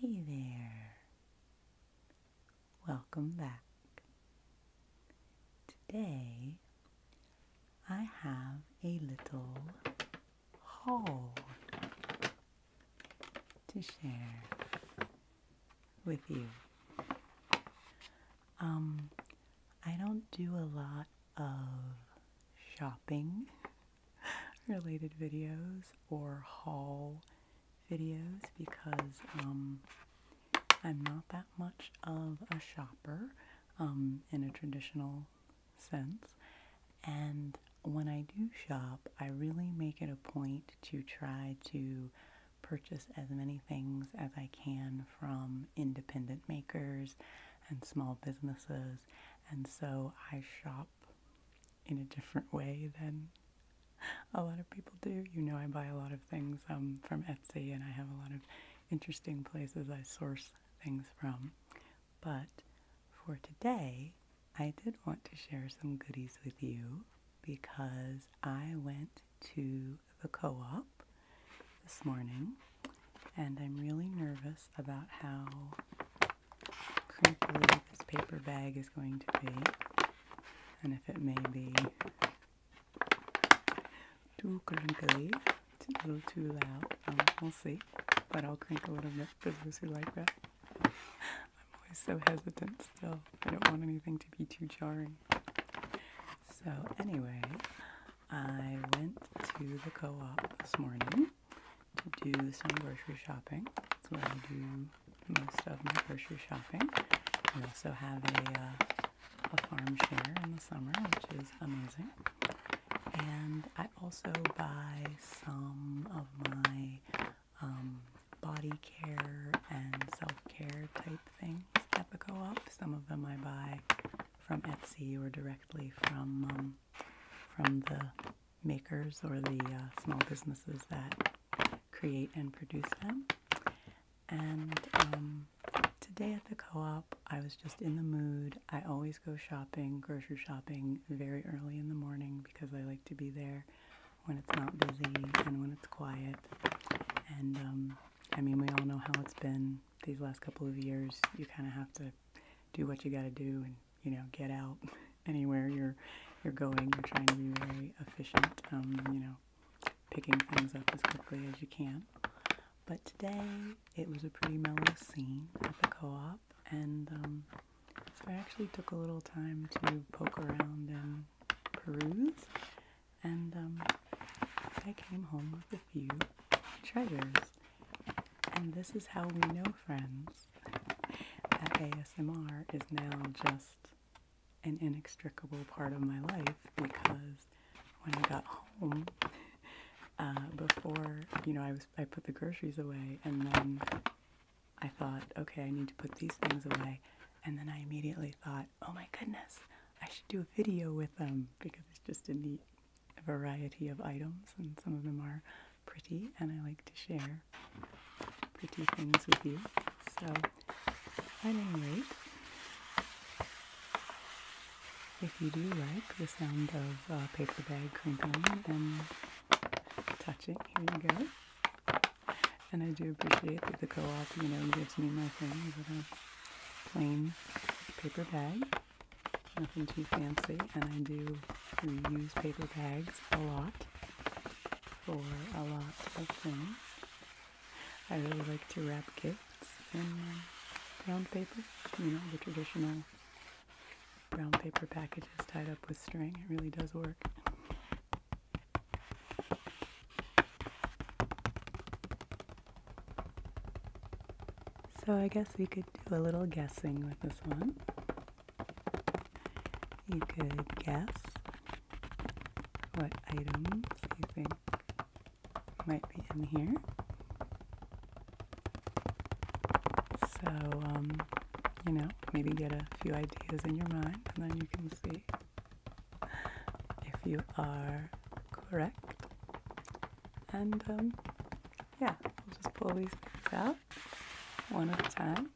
Hey there. Welcome back. Today I have a little haul to share with you. Um, I don't do a lot of shopping. related videos or haul videos because um, I'm not that much of a shopper um, in a traditional sense. And when I do shop, I really make it a point to try to purchase as many things as I can from independent makers and small businesses. And so I shop in a different way than a lot of people do. You know, I buy a lot of things um, from Etsy and I have a lot of interesting places I source things from. But for today, I did want to share some goodies with you because I went to the co op this morning and I'm really nervous about how crinkly this paper bag is going to be, and if it may be too crinkly, it's a little too loud, um, we'll see. But I'll crinkle it a bit for those who like that. I'm always so hesitant still. I don't want anything to be too jarring. So anyway, I went to the co-op this morning to do some grocery shopping. That's where I do most of my grocery shopping. I also have a, uh, a farm share in the summer, which is amazing. And I also buy some of my um, body care and self-care type things at the co-op. Some of them I buy from Etsy or directly from um, from the makers or the uh, small businesses that create and produce them. And um, today at the co op, I was just in the mood. I always go shopping, grocery shopping, very early in the morning because I like to be there when it's not busy and when it's quiet. And um, I mean, we all know how it's been these last couple of years. You kind of have to do what you got to do and you know, get out anywhere you're you're going. You're trying to be very efficient, um, you know, picking things up as quickly as you can. But today it was a pretty mellow scene at the co-op, and um, so I actually took a little time to poke around and peruse, and um, I came home with a few treasures. And this is how we know, friends, ASMR is now just an inextricable part of my life because when I got home, uh, before you know, I was I put the groceries away, and then I thought, okay, I need to put these things away, and then I immediately thought, oh my goodness, I should do a video with them because it's just a neat a variety of items, and some of them are pretty, and I like to share pretty things with you. So, at any rate, if you do like the sound of a uh, paper bag crinkling and touching, here you go. And I do appreciate that the co-op, you know, gives me my things in a plain paper bag. Nothing too fancy, and I do reuse paper bags a lot for a lot of things. I really like to wrap gifts in uh, brown paper, you know, the traditional brown paper packages tied up with string. It really does work. So I guess we could do a little guessing with this one. You could guess what items you think might be in here. So, um, you know, maybe get a few ideas in your mind and then you can see if you are correct. And um, yeah, I'll just pull these things out one at a time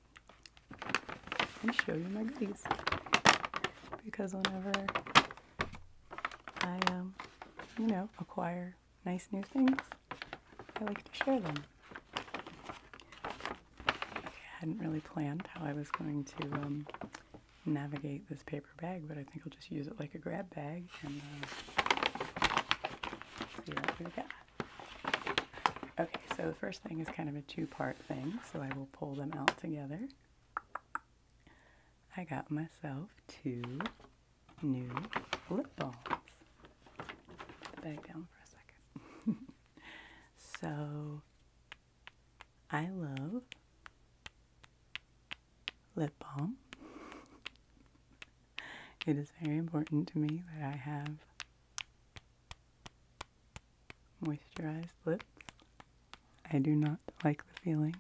and show you my goodies. Because whenever I, um, you know, acquire nice new things, I like to share them. I hadn't really planned how I was going to um, navigate this paper bag, but I think I'll just use it like a grab bag uh, Okay, so the first thing is kind of a two-part thing, so I will pull them out together. I got myself two new lip balms. Put that down for a second. so I love lip balm. it is very important to me that I have moisturized lips. I do not like the feeling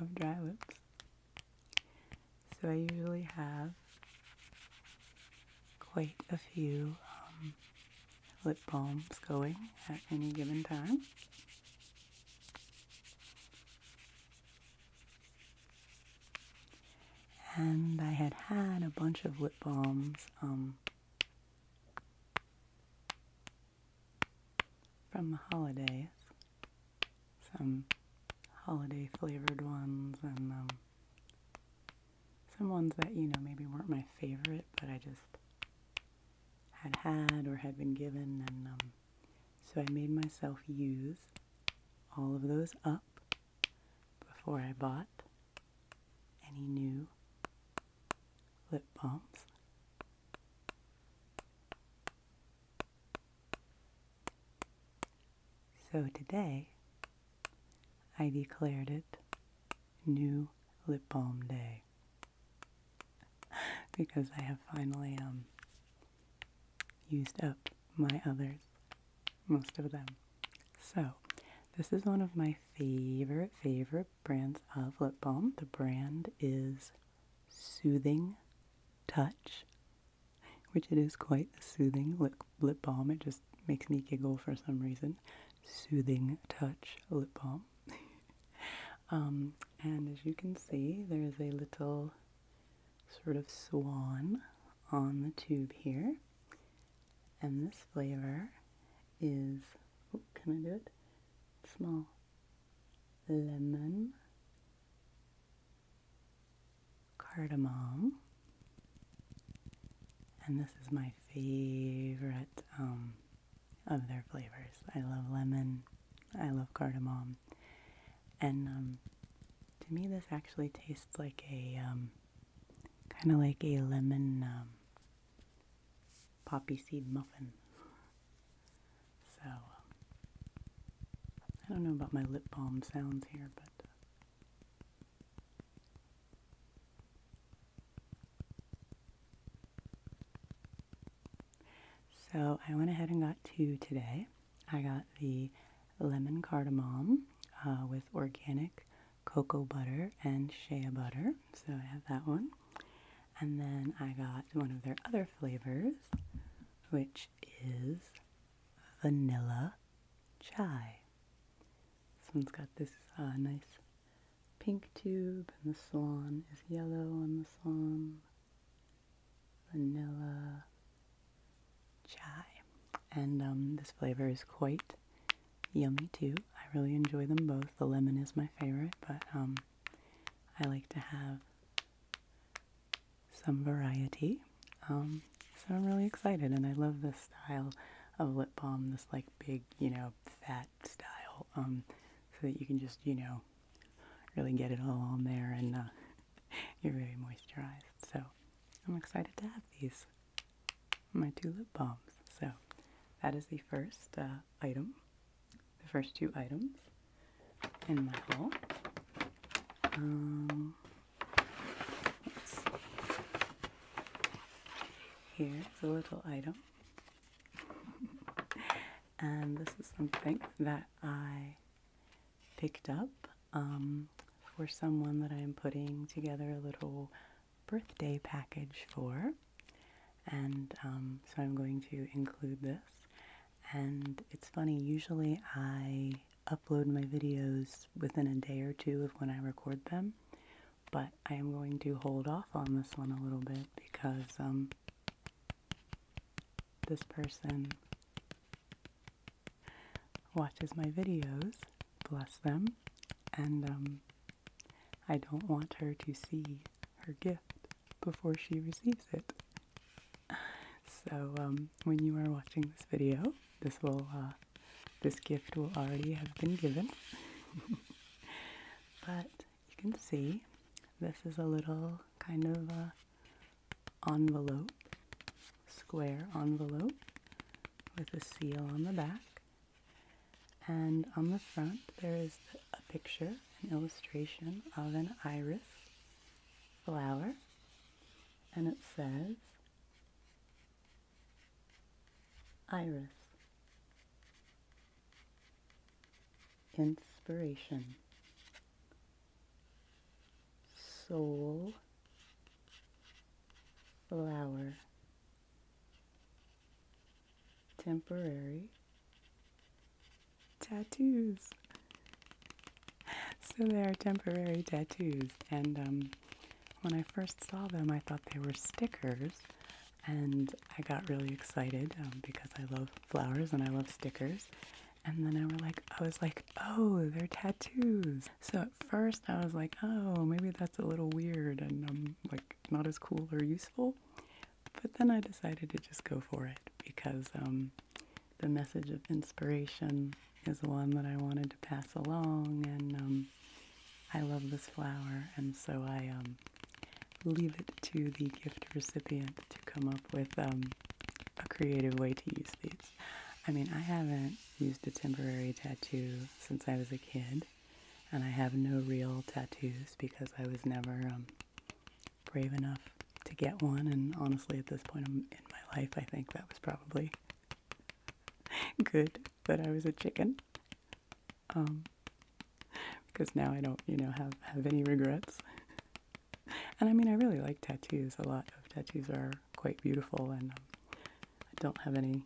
of dry lips. So I usually have quite a few um, lip balms going at any given time. And I had had a bunch of lip balms um, from the holidays, some holiday flavored ones, and um, some ones that, you know, maybe weren't my favorite, but I just had had or had been given, and um, so I made myself use all of those up before I bought any new lip balms. So today, I declared it New Lip Balm Day because I have finally um, used up my others, most of them. So, this is one of my favorite, favorite brands of lip balm. The brand is Soothing Touch, which it is quite a soothing lip, lip balm. It just makes me giggle for some reason. Soothing Touch lip balm. um, and as you can see, there is a little sort of swan on the tube here. And this flavor is, oh, can I do it? Small. Lemon. Cardamom. And this is my favorite um, of their flavors. I love lemon I love cardamom. And um, to me, this actually tastes like a um, kind of like a lemon um, poppy seed muffin. So, I don't know about my lip balm sounds here, but. Uh, so I went ahead and got two today. I got the lemon cardamom uh, with organic cocoa butter and shea butter. So I have that one. And then I got one of their other flavors, which is vanilla chai. This one's got this uh, nice pink tube, and the swan is yellow on the swan vanilla chai. And um, this flavor is quite yummy too. I really enjoy them both. The lemon is my favorite, but um, I like to have some variety. Um, so I'm really excited, and I love this style of lip balm, this like big, you know, fat style, so that you can just, you know, really get it all on there and uh, you're very moisturized. So I'm excited to have these, my two lip balms. So that is the first uh, item, the first two items in my haul. Um, Here's a little item. and this is something that I picked up um, for someone that I'm putting together a little birthday package for. And um, so I'm going to include this. And it's funny, usually I upload my videos within a day or two of when I record them, but I am going to hold off on this one a little bit because um, this person watches my videos, bless them, and um, I don't want her to see her gift before she receives it. So um, when you are watching this video, this will uh, this gift will already have been given. but you can see this is a little kind of a uh, envelope, square envelope with a seal on the back. And on the front, there is a picture, an illustration of an iris flower. And it says, Iris. Inspiration soul flower temporary tattoos. So they are temporary tattoos, and um, when I first saw them, I thought they were stickers, and I got really excited um, because I love flowers and I love stickers, and then I were like I was like, oh, they're tattoos. So at first I was like, oh, maybe that's a little weird and I'm like not as cool or useful. But then I decided to just go for it because um, the message of inspiration is one that I wanted to pass along, and um, I love this flower, and so I um, leave it to the gift recipient to come up with a creative way to use these. I mean, I haven't used a temporary tattoo since I was a kid, and I have no real tattoos because I was never um, brave enough to get one. And honestly, at this point in my life, I think that was probably good that I was a chicken. Um, because now I don't, you know, have, have any regrets and I mean, I really like tattoos. A lot of tattoos are quite beautiful, and um, I don't have any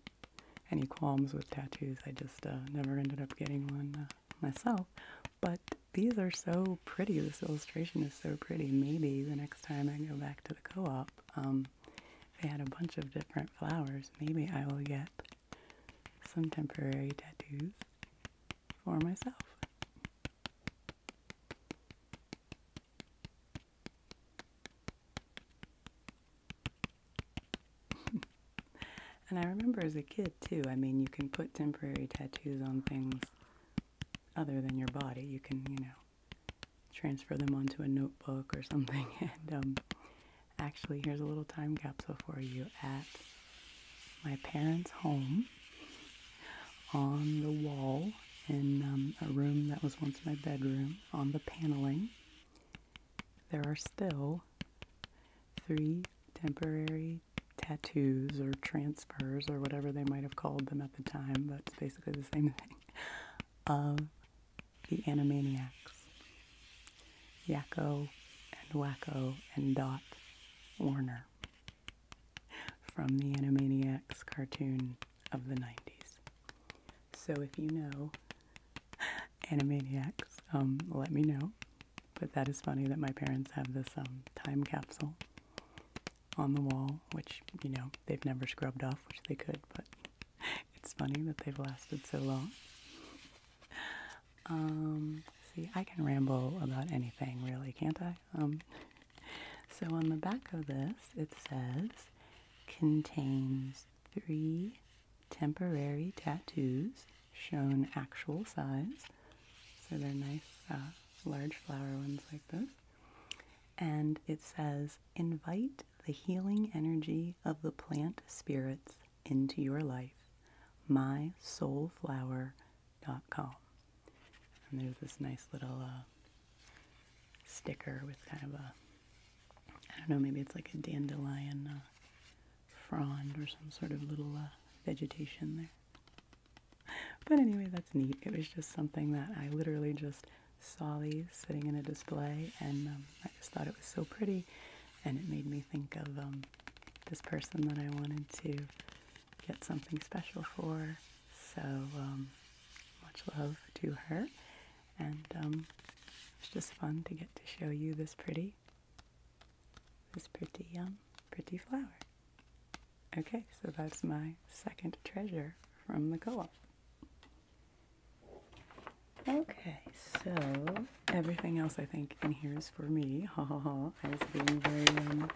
any qualms with tattoos. I just uh, never ended up getting one uh, myself. But these are so pretty. This illustration is so pretty. Maybe the next time I go back to the co-op, um, they had a bunch of different flowers. Maybe I will get some temporary tattoos for myself and I remember as a kid too, I mean, you can put temporary tattoos on things other than your body. You can, you know, transfer them onto a notebook or something. And um, actually, here's a little time capsule for you at my parents' home on the wall in um, a room that was once my bedroom on the paneling. There are still three temporary tattoos or transfers or whatever they might have called them at the time, but it's basically the same thing, of the Animaniacs. Yakko and Wacko and Dot Warner from the Animaniacs cartoon of the 90s. So if you know Animaniacs, um, let me know. But that is funny that my parents have this um, time capsule on the wall, which, you know, they've never scrubbed off, which they could, but it's funny that they've lasted so long. Um, see, I can ramble about anything really, can't I? Um, so on the back of this, it says contains three temporary tattoos shown actual size. So they're nice, uh, large flower ones like this. And it says, invite the healing energy of the plant spirits into your life. My soul flower Amazon.com. And there's this nice little uh, sticker with kind of a, I don't know, maybe it's like a dandelion uh, frond or some sort of little uh, vegetation there. But anyway, that's neat. It was just something that I literally just saw these sitting in a display, and um, I just thought it was so pretty, and it made me think of um, this person that I wanted to get something special for. So um, much love to her, and um, it's just fun to get to show you this pretty, this pretty um, pretty flower. Okay, so that's my second treasure from the co-op. Okay, so everything else I think in here is for me. Ha ha ha. I was being very um,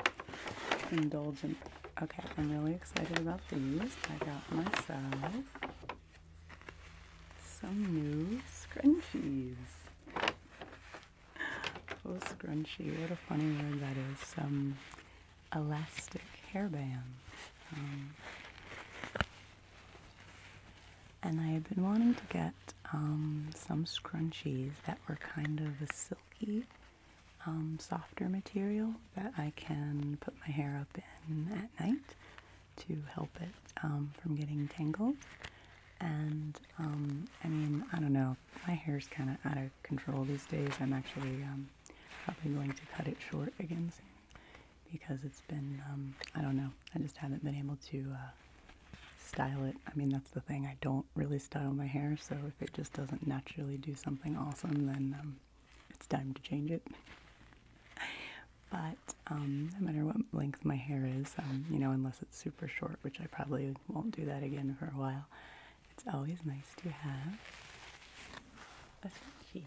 indulgent. Okay, I'm really excited about these. I got myself some new scrunchies. Oh, scrunchie. What a funny word that is. Some elastic hairbands. Um, and I had been wanting to get um, some scrunchies that were kind of a silky, um, softer material that I can put my hair up in at night to help it um, from getting tangled. And um, I mean, I don't know, my hair's kind of out of control these days. I'm actually um, probably going to cut it short again because it's been, um, I don't know, I just haven't been able to uh, style it. I mean, that's the thing. I don't really style my hair, so if it just doesn't naturally do something awesome, then um, it's time to change it. but um, no matter what length my hair is, um, you know, unless it's super short, which I probably won't do that again for a while, it's always nice to have a scrunchie.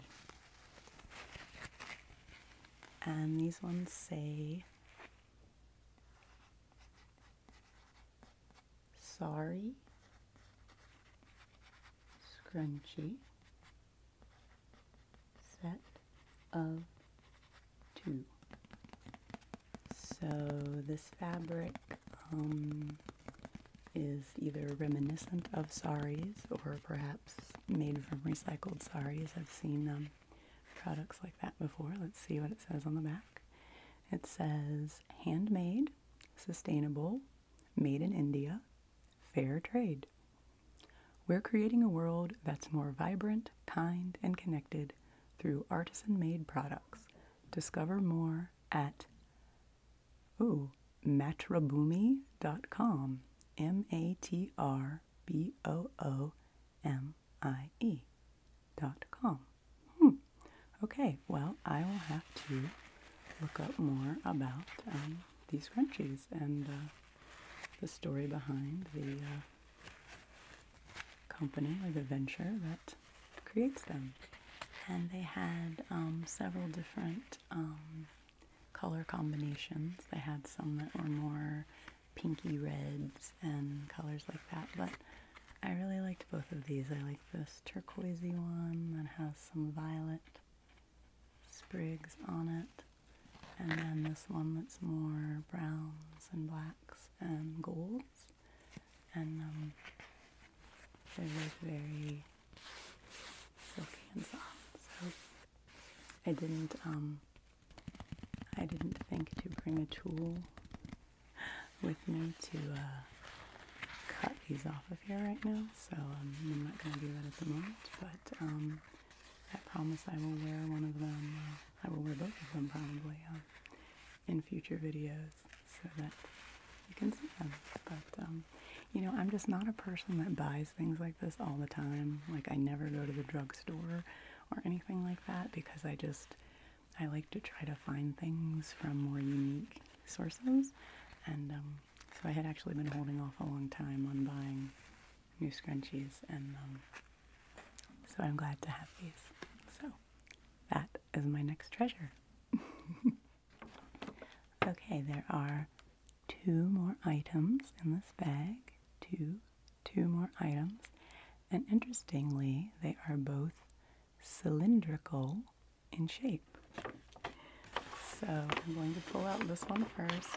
And these ones say Sorry, Scrunchy, Set of Two. So this fabric um, is either reminiscent of saris or perhaps made from recycled saris. I've seen them products like that before. Let's see what it says on the back. It says handmade, sustainable, made in India, fair trade. We're creating a world that's more vibrant, kind, and connected through artisan made products. Discover more at ooh, M A T R B O O M I E gmail.com. Hmm. Okay, well, I will have to look up more about um, these crunchies and uh, the story behind the uh, company or the venture that creates them. And they had um, several different um, color combinations. They had some that were more pinky reds and colors like that. But I really liked both of these. I like this turquoisey one that has some violet sprigs on it. And then this one that's more browns and blacks and golds. And um, they're both very silky and soft. So I didn't um, I didn't think to bring a tool with me to uh, cut these off of here right now, so um, I'm not going to do that at the moment, but um, I promise I will wear one of them, uh, I will wear both of them probably um, in future videos so that you can see them. But, you know, I'm just not a person that buys things like this all the time. Like, I never go to the drugstore or anything like that because I just, I like to try to find things from more unique sources, and um, so I had actually been holding off a long time on buying new scrunchies, and um, so I'm glad to have these. So that is my next treasure. okay, there are two more items in this bag. Two, two more items. And interestingly, they are both cylindrical in shape. So I'm going to pull out this one first.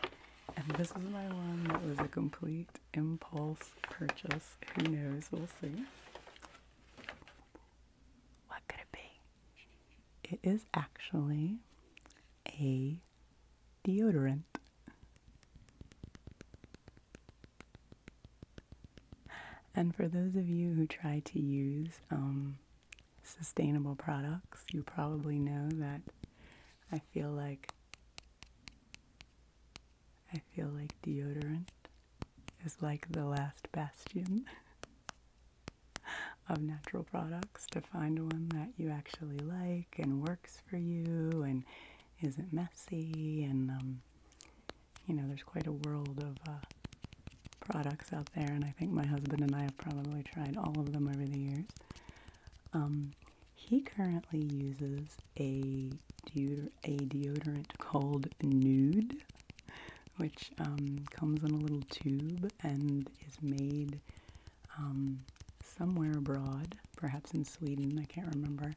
And this is my one that was a complete impulse purchase. Who knows? We'll see. What could it be? It is actually a deodorant. And for those of you who try to use um, sustainable products, you probably know that I feel like I feel like deodorant is like the last bastion of natural products to find one that you actually like and works for you and is it messy and um, you know there's quite a world of uh, products out there and I think my husband and I have probably tried all of them over the years. Um, he currently uses a, a deodorant called Nude, which um, comes in a little tube and is made somewhere abroad, perhaps in Sweden, I can't remember,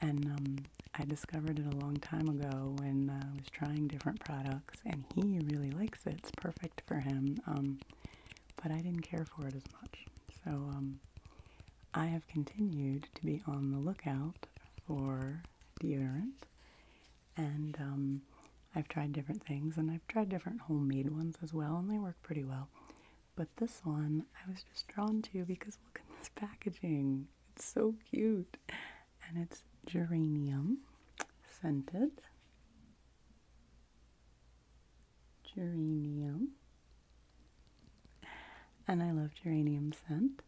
and um, I discovered it a long time ago when uh, I was trying different products, and he really likes it. It's perfect for him, um, but I didn't care for it as much. So um, I have continued to be on the lookout for deodorant, and I've tried different things, and I've tried different homemade ones as well, and they work pretty well. But this one I was just drawn to because look at this packaging. It's so cute. And it's geranium scented. Geranium. And I love geranium scent.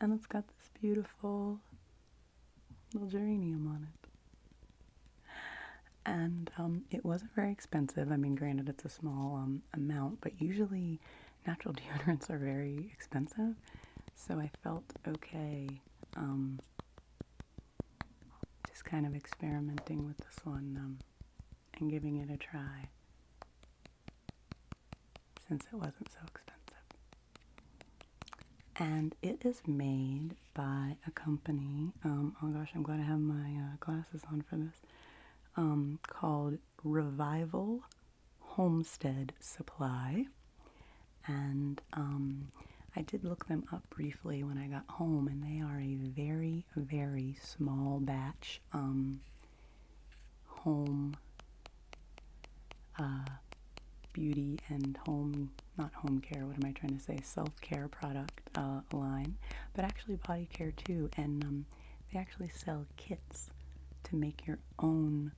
And it's got this beautiful little geranium on it. And um, it wasn't very expensive. I mean, granted, it's a small um, amount, but usually natural deodorants are very expensive, so I felt okay um, just kind of experimenting with this one um, and giving it a try since it wasn't so expensive. And it is made by a company. oh gosh, I'm glad I have my uh, glasses on for this um, called Revival Homestead Supply. And um, I did look them up briefly when I got home, and they are a very, very small batch um, home uh, beauty and home, not home care, what am I trying to say, self care product uh, line, but actually body care too. And um, um, they actually sell kits to make your own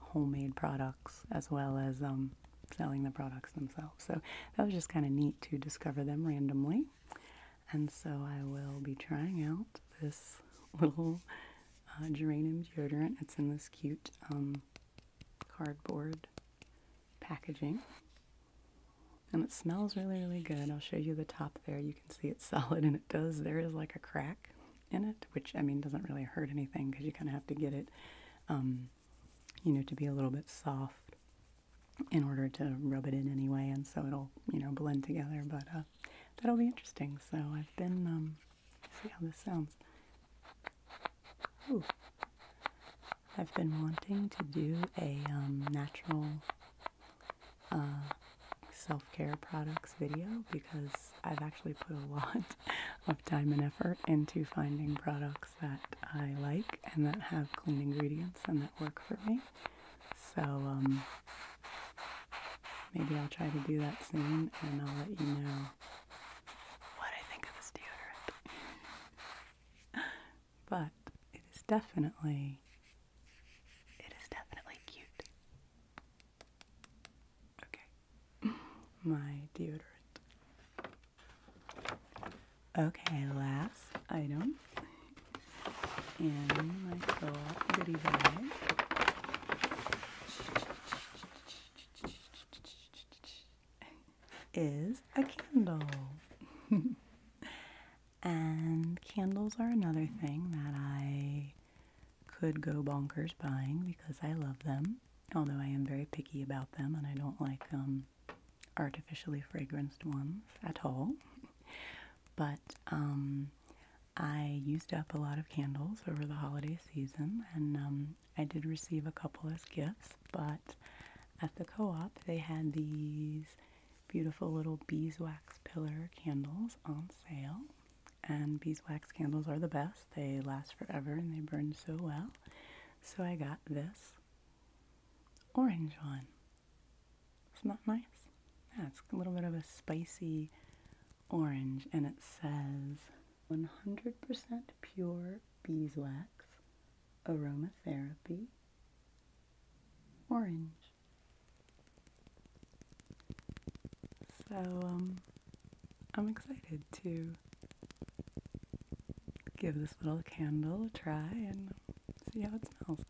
homemade products as well as um, selling the products themselves. So that was just kind of neat to discover them randomly. And so I will be trying out this little uh, geranium deodorant. It's in this cute um, cardboard packaging and it smells really really good. I'll show you the top there. You can see it's solid and it does there is like a crack in it, which I mean doesn't really hurt anything because you kind of have to get it um, you know to be a little bit soft in order to rub it in anyway and so it'll you know blend together but uh, that'll be interesting. So I've been um, see how this sounds. Ooh. I've been wanting to do a um, natural uh, self care products video because I've actually put a lot of time and effort into finding products that I like and that have clean ingredients and that work for me. So, um, maybe I'll try to do that soon and I'll let you know what I think of this deodorant. but it is definitely it is definitely cute. Okay. My deodorant. Okay, last item and my little goodie bag. Is a candle. And candles are another thing that I could go bonkers buying because I love them, although I am very picky about them and I don't like um, artificially fragranced ones at all. but um, I used up a lot of candles over the holiday season and um, I did receive a couple as gifts, but at the co op they had these beautiful little beeswax pillar candles on sale. And beeswax candles are the best. They last forever and they burn so well. So I got this orange one. is nice? Yeah, a little bit of a spicy orange and it says 100% pure beeswax aromatherapy orange. So, um, I'm excited to give this little candle a try and see how it smells.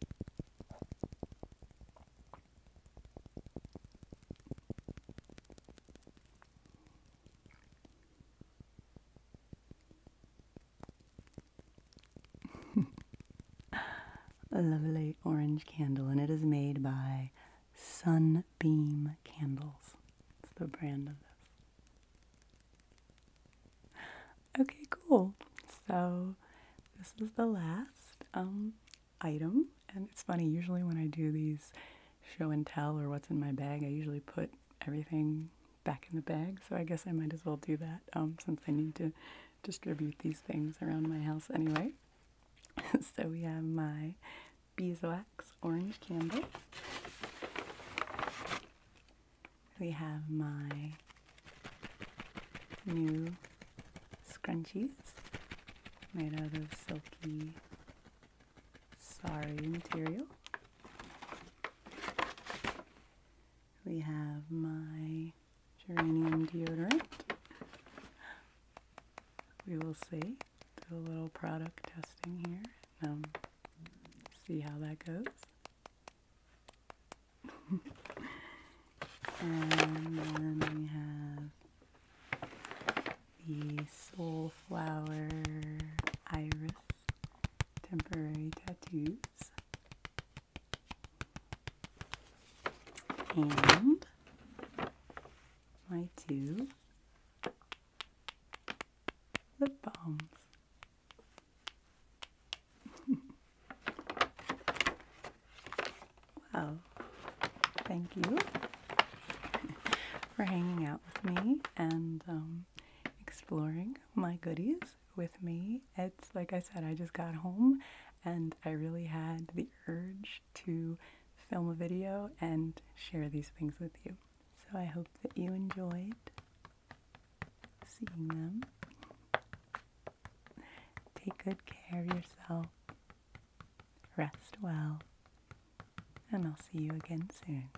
a lovely orange candle, and it is made by Sunbeam Candles. It's the brand of this. Okay, cool. So this is the last um, item, and it's funny. Usually when I do these show and tell or what's in my bag, I usually put everything back in the bag, so I guess I might as well do that um, since I need to distribute these things around my house anyway. so we have my beeswax orange candle. We have my new scrunchies made out of silky sorry, material. We have my geranium deodorant. We will see. Do a little product testing here. Um, see how that goes. and then we have the soul flower Iris Temporary Tattoos and my two lip balms. wow, thank you for hanging out with me and um, exploring my goodies with me. It's like I said, I just got home and I really had the urge to film a video and share these things with you. So I hope that you enjoyed seeing them. Take good care of yourself. Rest well. And I'll see you again soon.